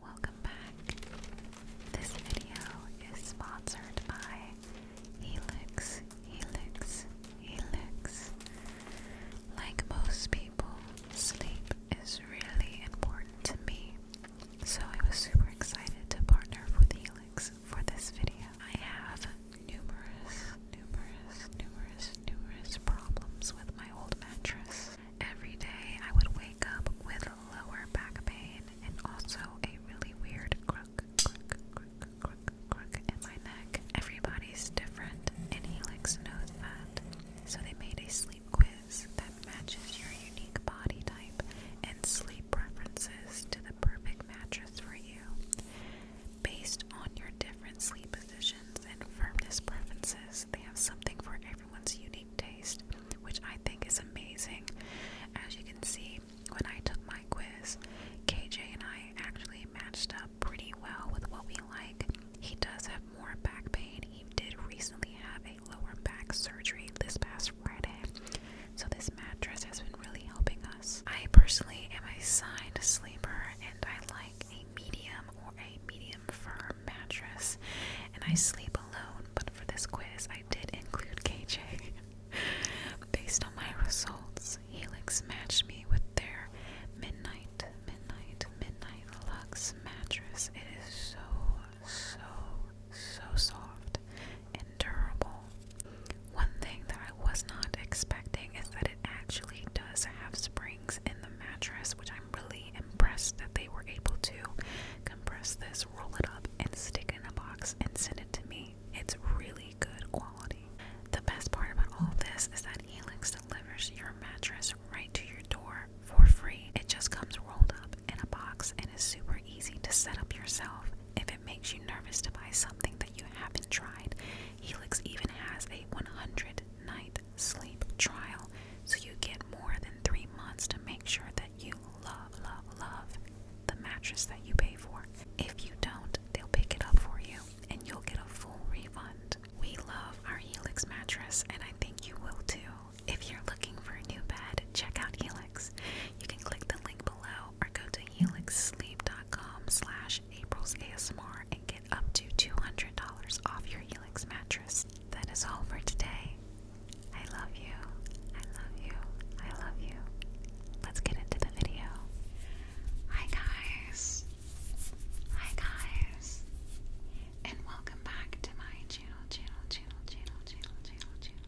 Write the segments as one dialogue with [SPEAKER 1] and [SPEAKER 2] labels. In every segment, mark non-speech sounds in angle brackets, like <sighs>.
[SPEAKER 1] Welcome back. This video is sponsored by Helix, Helix, Helix. Like most people, sleep is really important to me, so I was super excited to partner with Helix for this video. I have numerous, numerous, numerous, numerous problems with my old mattress. Every day I would wake up with lower back pain and also a really weird crook, crook, crook, crook, crook in my neck. Everybody's different and Helix knows that. So they made a sleep quiz that matches your unique body type and sleep sleep preferences to the perfect mattress for you based on your different sleep positions and firmness preferences. They have something for everyone's unique taste, which I think is amazing. As you can see, when I took my quiz, KJ and I actually matched up pretty well with what we like. He does have more back pain. He did recently have a lower back surgery this past so this mattress has been really helping us. I personally am a side sleeper and I like a medium or a medium firm mattress and I sleep alone, but for this quiz I did include KJ. <laughs> Based on my results, Helix matched me with their midnight, midnight, midnight luxe mattress. It is so so so soft and durable. One thing that I was not expecting is that it actually does have springs in the mattress, which I'm really impressed that they were able to compress this, roll it up, and stick it in a box and send it to me. It's really good quality. The best part about all this is that Helix delivers your mattress right to your door for free. It just comes rolled up in a box and is super easy to set up yourself if it makes you nervous to buy something that you haven't tried. Helix even has a 100 night sleep trial, so you get more than three months to make sure that you love, love, love the mattress that you pay for. If you don't, they'll pick it up for you and you'll get a full refund. We love our Helix mattress, and I think you will too. If you're looking for a new bed, check out Helix. You can click the link below or go to helixsleep.com slash aprilsasmr and get up to $200 off your Helix mattress. That is all for today. I love you. I love you. I love you. Let's get into the video. Hi guys. Hi guys. And welcome back to my channel, channel, channel, channel, channel, channel, channel,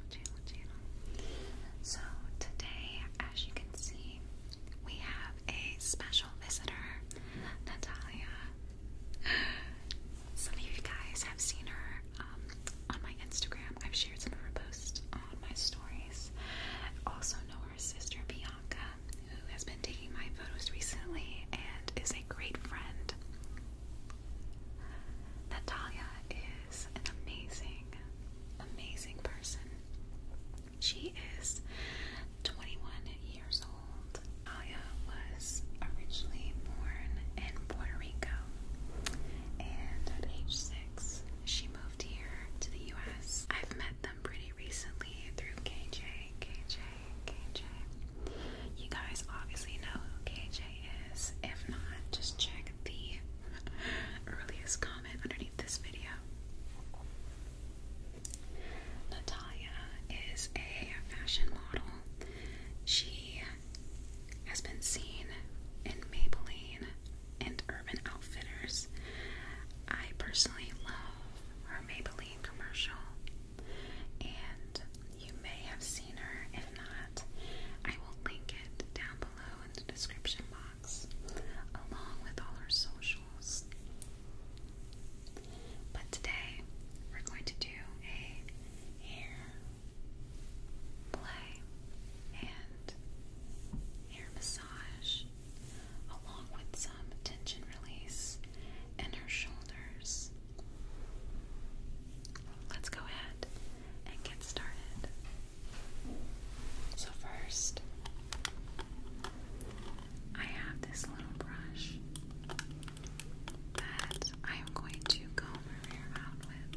[SPEAKER 1] so today, as you can see, we have a special visitor, Natalia. Some of you guys have seen her um, on my Instagram. I've shared some of her posts on my stories. I also know her sister Bianca, who has been taking my photos recently and is a great friend. Natalia an amazing, amazing person. She is 21 years old. Aya was originally born in Puerto Rico, and at age six, she moved here to the U.S. I've met them pretty recently through KJ, KJ, KJ. You guys obviously know KJ is. If not, just check the earliest comment underneath this video. Natalia is a fashion model. She has been seen in Maybelline and Urban Outfitters. I personally love her Maybelline commercial, and you may have seen her. If not, I will link it down below in the description box, along with all our socials. But today, we're going to do a hair play and hair massage, along with some tension release in her shoulders. Let's go ahead and get started. So, first, I have this little brush that I am going to comb her hair out with.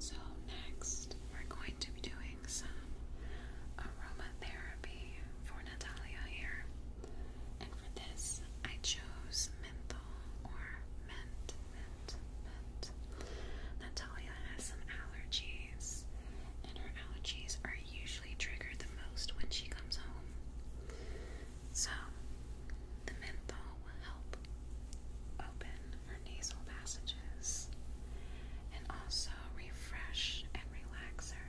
[SPEAKER 1] So, next, we're going to be doing some aromatherapy for Natalia here. And for this, I chose menthol or mint, mint, mint. Natalia has some allergies, and her allergies are usually triggered the most when she comes home. So, the menthol will help open her nasal passages and also refresh and relax her.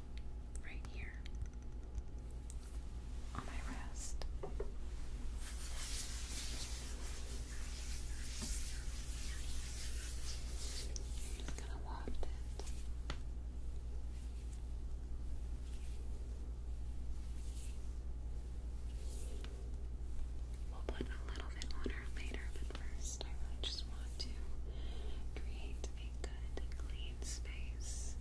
[SPEAKER 1] right here on my wrist. I'm just gonna waft it. We'll put a little bit on her later, but first I just want to create a good, clean space.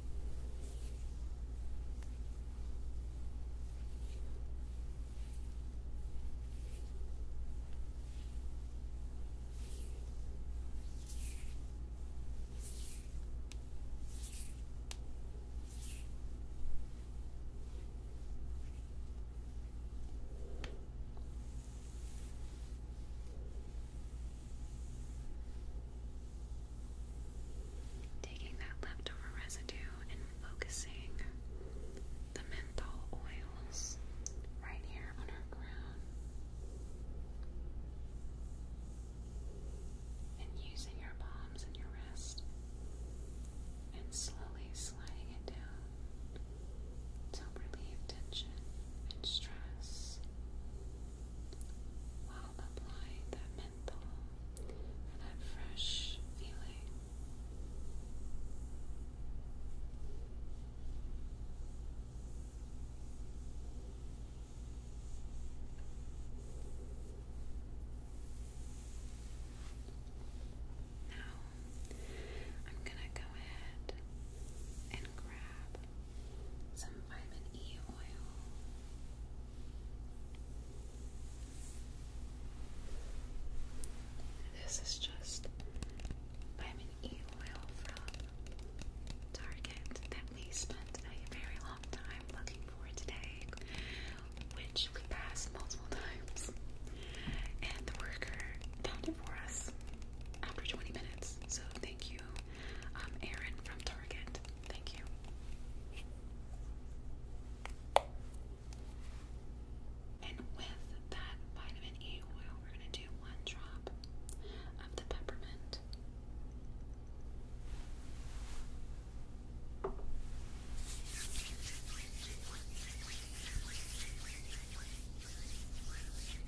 [SPEAKER 1] Taking that leftover residue and focusing the menthol oils right here on our crown. And using your palms and your wrist and slowly sliding it down to relieve tension and stress will apply that menthol for that fresh feeling. Now, I'm going to go ahead and grab some vitamin E oil. This is just vitamin E oil from Target that we spent a very long time looking for today, which we passed multiple times. And the worker found it for us after 20 minutes. So, thank you. Thank you, um, from Target. Thank you. And with that vitamin E oil, we're going to do one drop of the peppermint.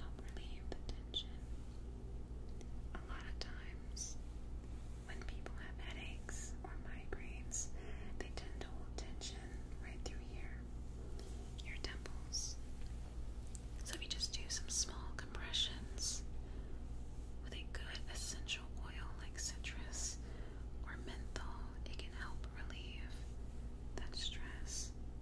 [SPEAKER 1] help relieve the tension. A lot of times, when people have headaches or migraines, they tend to hold tension right through here, your temples. So, if you just do some small compressions with a good essential oil like citrus or menthol, it can help relieve that stress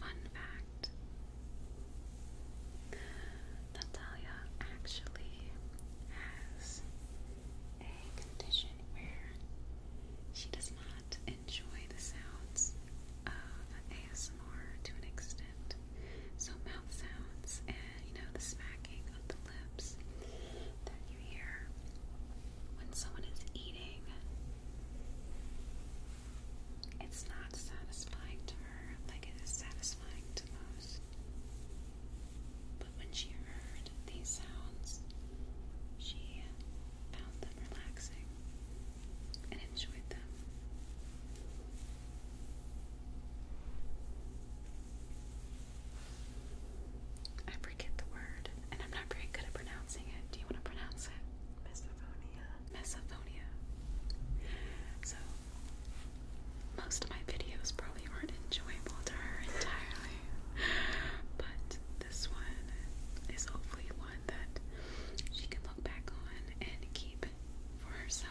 [SPEAKER 1] Fun fact Natalia actually has a condition where she does not enjoy the sounds of ASMR to an extent. So mouth sounds and you know the smacking of the lips that you hear when someone is eating. It's not satisfying to her like it is satisfying to most. But when she heard these sounds, she found them relaxing and enjoyed them. I forget the word, and I'm not very good at pronouncing it. Do you want to pronounce it? Mesophonia. Mesophonia. So, most of my videos probably aren't enjoyable to her entirely, but this one is hopefully one that she can look back on and keep for herself.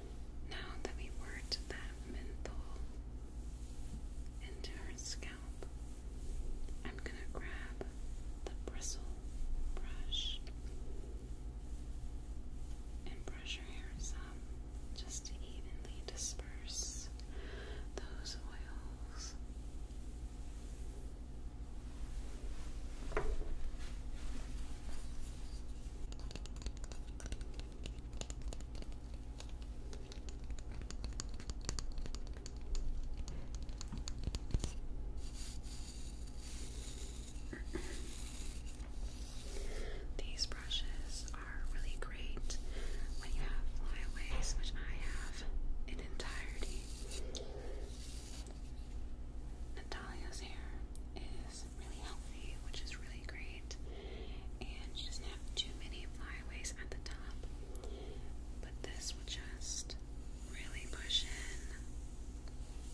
[SPEAKER 1] Now that we worked that menthol into her scalp, I'm going to grab the bristle brush and brush her hair some just to evenly disperse those oils. These brushes are really great when you have flyaways, which I have in entirety. Natalia's hair is really healthy, which is really great. And doesn't have too many flyaways at the top. But this will just really push in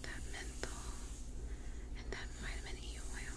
[SPEAKER 1] that menthol and that vitamin E oil.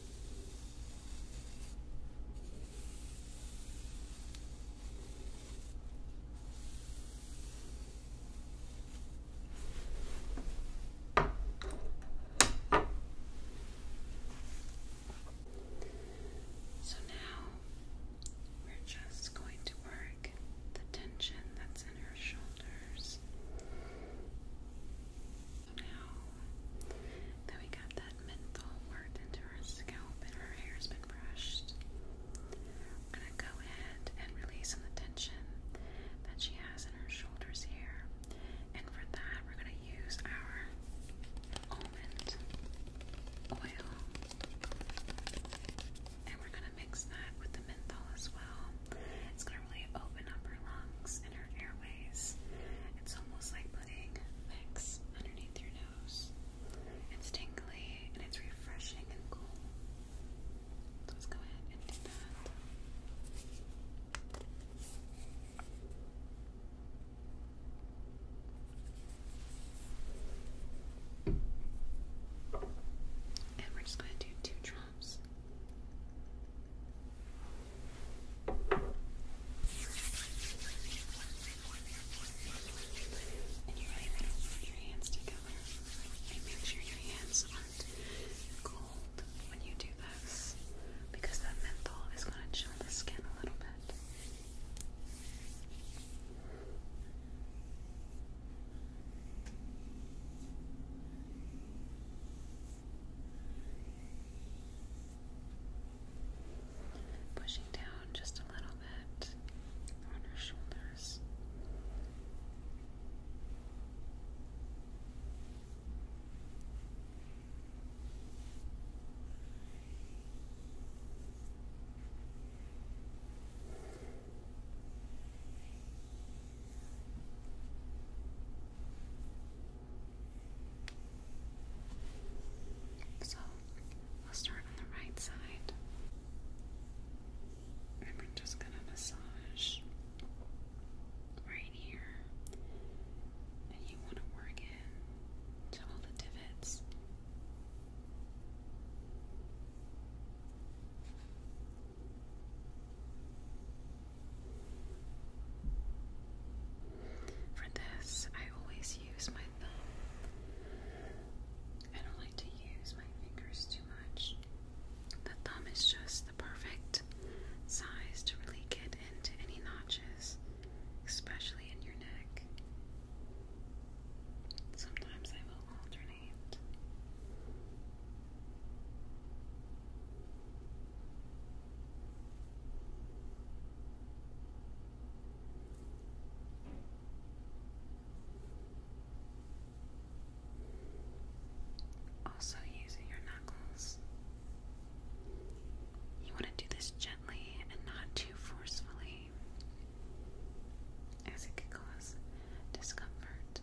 [SPEAKER 1] So now we're just going to work the tension that's in her shoulders. So now that we got that menthol worked into our scalp and our hair's been brushed, I'm gonna go ahead and release some of the tension that she has in her shoulders here. And for that, we're gonna use our almond oil. And we're gonna mix that with the menthol as well. It's gonna really open up her lungs and her airways. It's almost like putting Vicks underneath your nose. It's tingly and it's refreshing and cool. let's go ahead and do that. And we're just going to do two drops arms. And you really want to put your hands together make sure your hands aren't cold when you do this because that menthol is going to chill the skin a little bit. Pushing down just a little bit on her shoulders. So we'll start on the right side. we're just gonna massage right here. And you wanna work in to all the divots. For this, I always use my thumb. I don't like to use my fingers too much. The thumb is just the perfect size to really get into any notches, especially in your neck. Sometimes I will alternate. Also, using your knuckles. You want to do this gently and not too forcefully, as it could cause discomfort.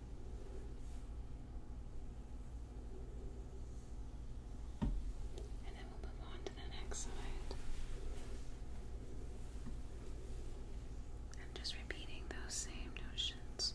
[SPEAKER 1] And then we'll move on to the next side. i just repeating those same notions.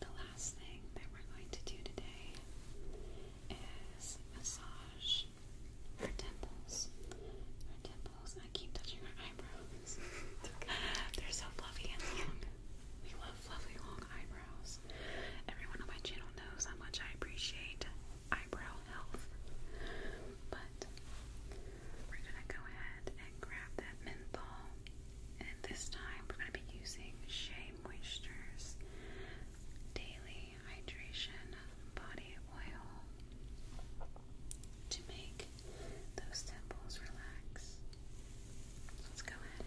[SPEAKER 1] The last thing that we're going to do today is massage our temples. Our temples. I keep touching our eyebrows. <laughs> They're so fluffy and long. We love fluffy long eyebrows. Everyone on my channel knows how much I appreciate eyebrow health. But we're gonna go ahead and grab that menthol. And this time we're gonna be using Shea Moisture's Daily Hydration Body Oil to make those temples relax. Let's go ahead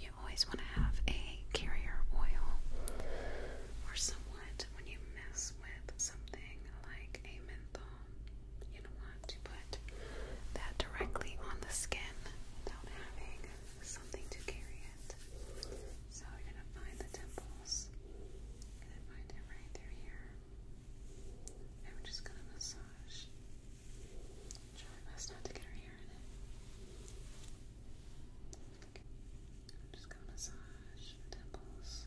[SPEAKER 1] You always want to have a carrier oil or somewhat when you mess with something like a menthol. You don't want to put that directly on the skin without having something to carry it. So you're going to find the temples. going to find it right through here. I'm just gonna massage. Try my best not to get her hair in it. I'm just gonna massage the temples.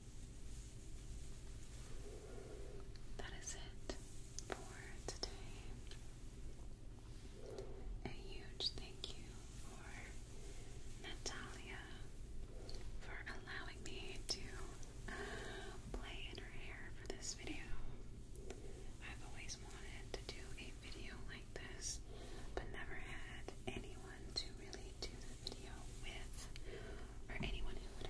[SPEAKER 1] that is it for today. A huge thank you for Natalia for allowing me to uh, play in her hair for this video. I've always wanted to do a video like this, but never had anyone to really do the video with, or anyone who would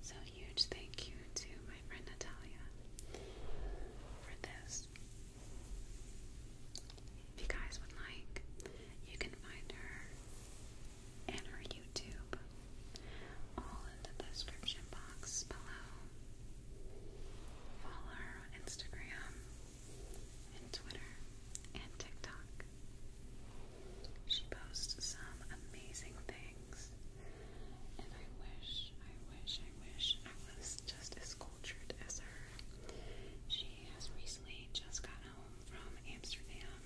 [SPEAKER 1] so huge thank you to my friend Natalia for this. If you guys would like, you can find her and her YouTube all in the description box below. Follow her on Instagram and Twitter and TikTok. She posts some amazing things, and I wish, I wish, I wish I was just as cultured as her. She has recently just got home from Amsterdam,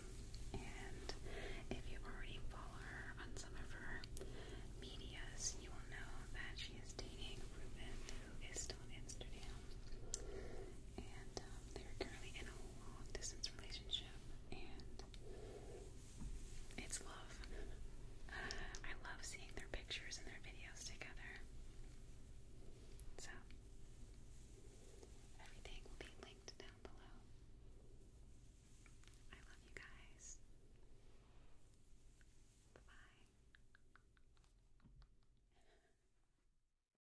[SPEAKER 1] and if you already follow her on some of her medias, you will know that she is dating Ruben, who is still in Amsterdam and um, they're currently in a long distance relationship, and it's love. <sighs> I love seeing their pictures and their videos together. So, everything will be linked down below. I love you guys. Bye bye.